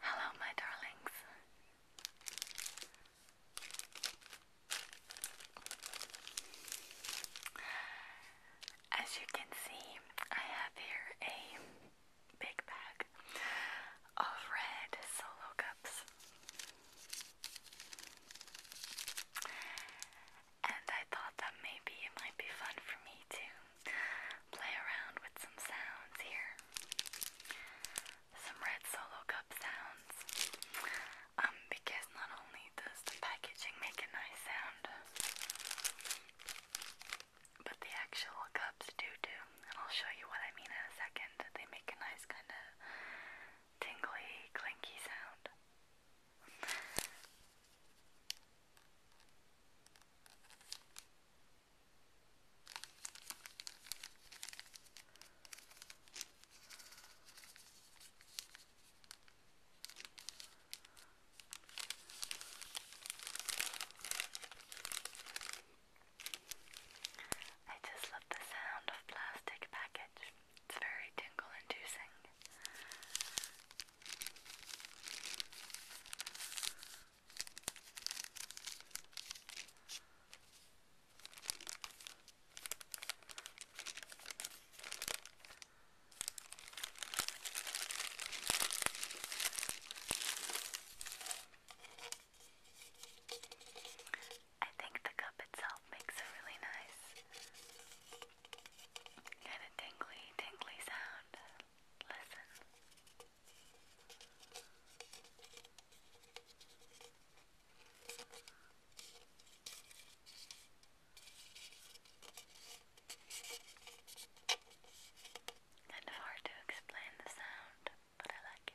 Hello, my darlings. As you can see, I have here a big bag of red solo cups and I thought that maybe it might be fun for me to play around with some sounds here. Some red solo cup sounds. Um, because not only does the packaging make a nice sound, but the actual cups do too. And I'll show you what I mean in a second. They make a nice kind of tingly, clinky sound. I just love the sound of plastic package. It's very tingle inducing. I think the cup itself makes a really nice and a tingly, tingly sound. Listen. Kind of hard to explain the sound, but I like it.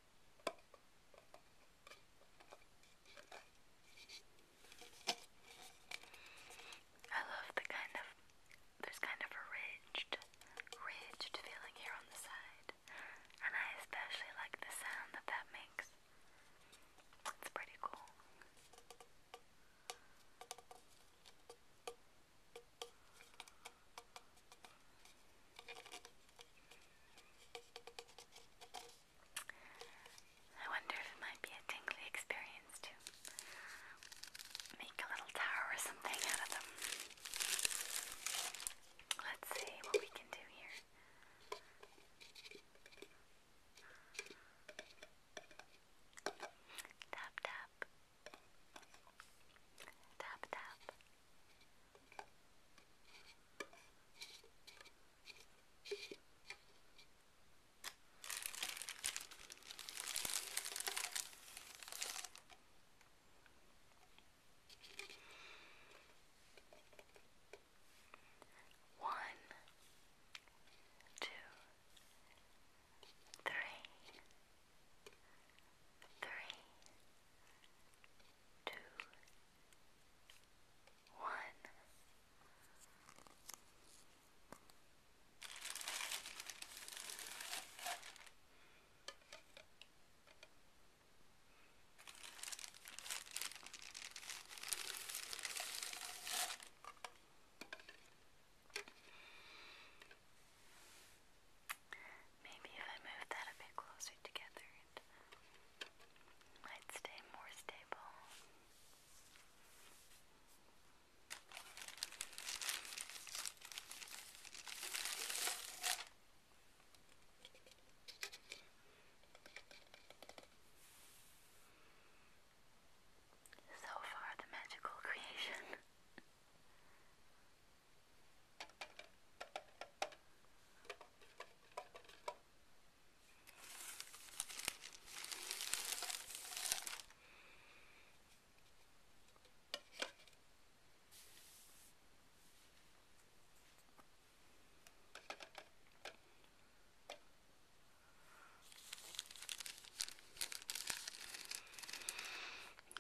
I love the kind of there's kind of a ridged, ridged feeling here on the side, and I especially like the sound that that makes. It's pretty cool. I wonder if it might be a tingly experience to make a little tower or something out of them. Let's see what we can do here. Tap, tap. Tap, tap. One, two, three, three, two one. Maybe if I move that a bit closer together, might stay more stable. So far, the magical creation.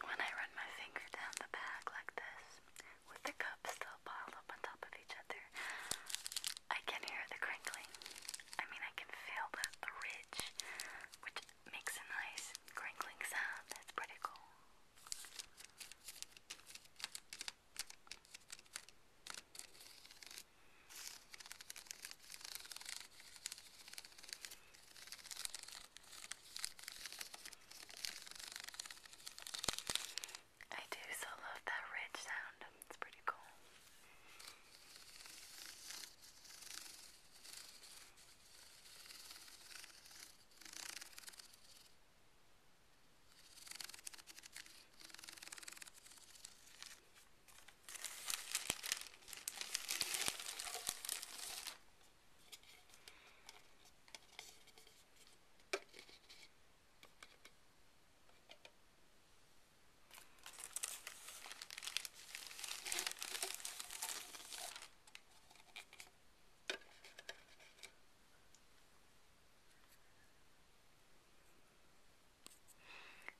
When I run my finger down the bag like this, with the cups still piled up on top of each other. I can hear the crinkling. I mean, I can feel the, ridge, which makes a nice crinkling sound. That's pretty cool. I do so love that ridge sound, it's pretty cool.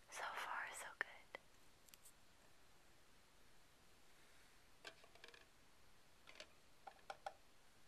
So far, so good.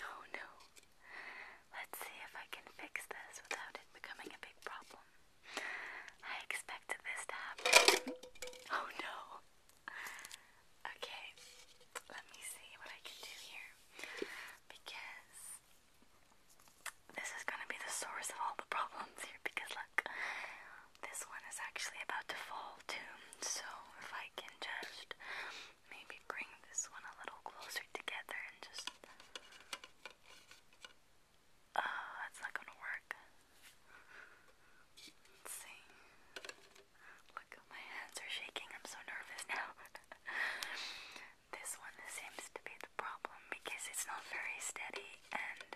Oh no. Let's see if I can fix this without it becoming a big problem. I expected this to happen. oh no. Okay, let me see what I can do here. Because this is going to be the source of all the problems here. Because look, this one is actually about to fall too. So if I can just maybe bring this one a little closer together and just. Uh, that's not gonna work. Look, my hands are shaking. I'm so nervous now. this one seems to be the problem because it's not very steady and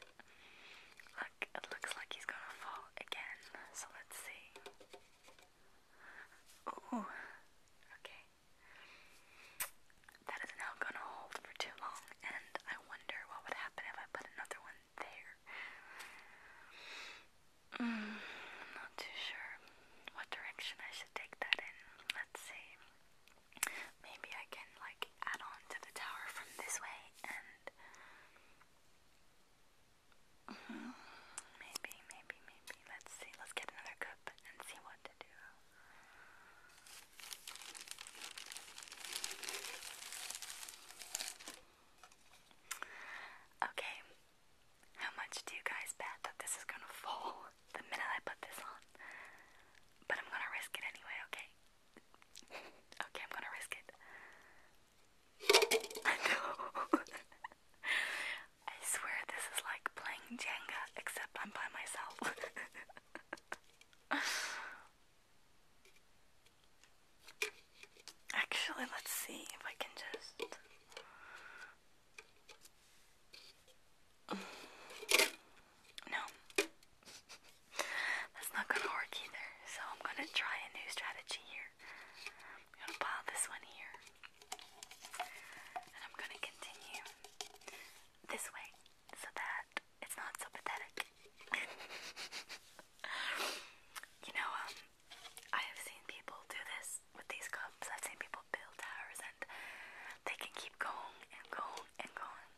look, it looks like he's gonna fall again. So let's see. Ooh. Okay that is now gonna hold for too long, and I wonder what would happen if I put another one there. Mm, I'm not too sure what direction I should take that in. Let's see. Maybe I can like add on to the tower from this way and mm-hmm, maybe, maybe, maybe. Let's see. Let's get another cup and see what to do. Okay, how much do you guys bet that this is gonna fall the minute I put this on? But I'm gonna risk it anyway, okay? okay, I'm gonna risk it. I know. I swear this is like playing Jenga, except I'm by myself. Actually, let's see if I can just. No. That's not gonna work either. So I'm gonna try a new strategy here. I'm gonna pile this one here. And I'm gonna continue this way so that it's not so pathetic. you know, um, I have seen people do this with these cups. I've seen people build towers and they can keep going and going and going.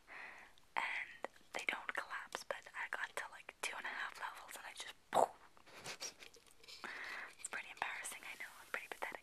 And they don't collapse, but I got to like two and a half levels and I just poof. it's pretty embarrassing, I know. I'm pretty pathetic.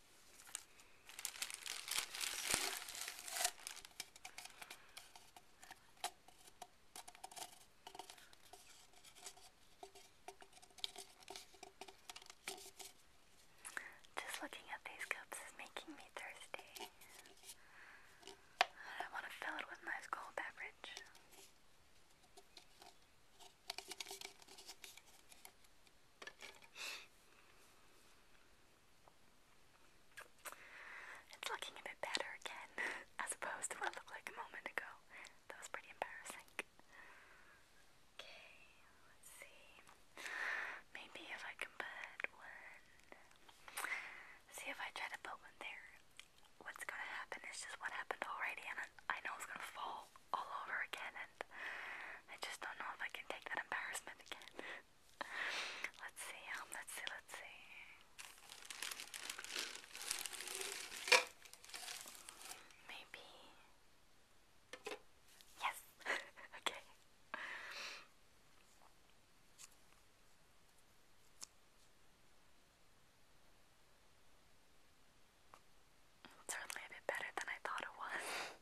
Just looking at these cups is making me thirsty. I want to fill it with nice cold beverage. It's looking a bit better again, as opposed to what looked like a moment ago. That was pretty embarrassing. Okay, let's see. Maybe if I can put one. See if I try to put one there. What's gonna happen is just what happened already, I know it's gonna fall all over again, I just don't know if I can take that embarrassment again. let's see, um, let's see, let's see. Maybe. Yes! okay. certainly a bit better than I thought it was.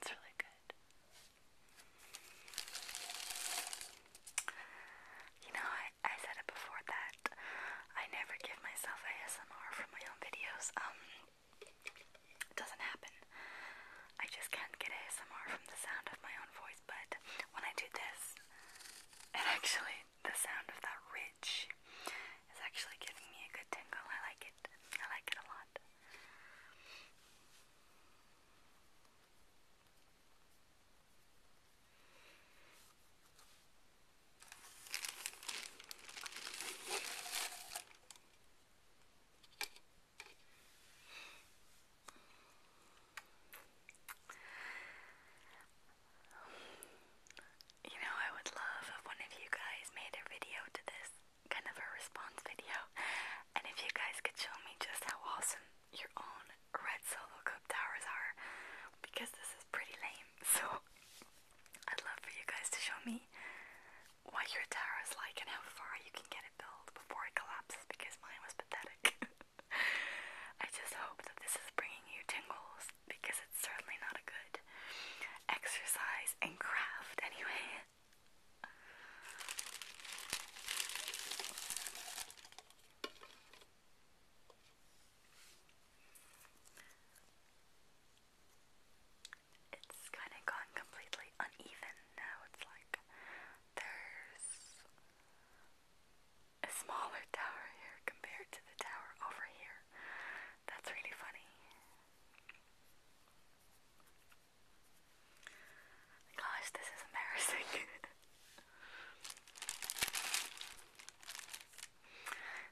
It's really good. You know, I, I said it before that I never give myself ASMR for my own videos. Um, doesn't happen. I just can't get ASMR from the sound of my own voice, but when I do this, it actually, the sound of that rich, it's actually giving me a good tingle. I like it. I like it a lot you know, I would love if one of you guys made a video to this, kind of a response video, and if you guys could show me just how awesome your own red solo cup towers are, because this is pretty lame, so I'd love for you guys to show me what your tower is like and how far you can get it built before it collapses, because mine was pathetic. I just hope that this is bringing you tingles because it's certainly not a good exercise and craft anyway. It's kind of gone completely uneven now. It's like there's a smaller tower here compared to the tower over here. That's really funny. Gosh, this is embarrassing.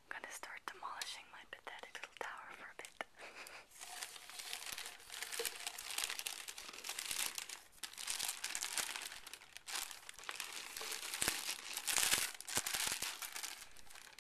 I'm gonna start demolishing my pathetic little tower for a bit.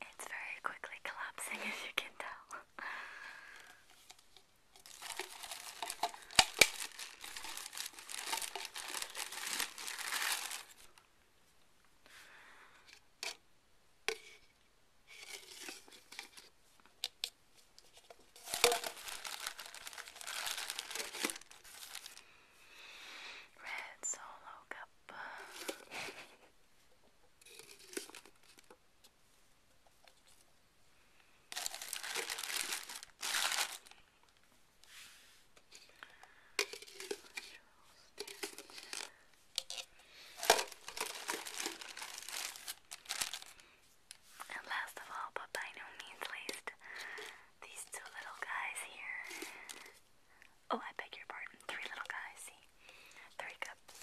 It's very quickly collapsing, as you can tell. Red Solo Cup. And last of all, but by no means least, these two little guys here. Oh, I beg your pardon. Three little guys, see? Three cups.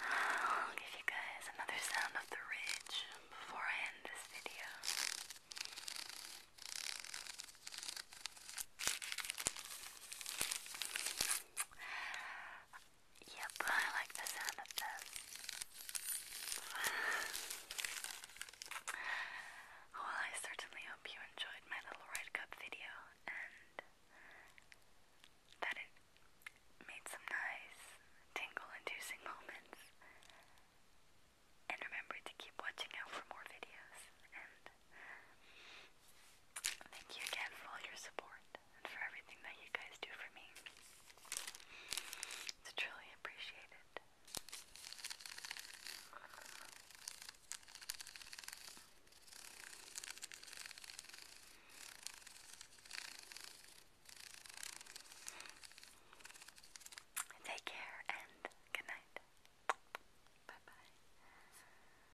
I'll give you guys another sound of the ridge before I end this video. Yep, I like the sound of this. well, I certainly hope you enjoyed my little ride Cup video and that it made some nice tingle inducing moments. And remember to keep watching out for more videos Thank you again for all your support and for everything that you guys do for me. It's truly appreciated. Take care and good night. Bye bye.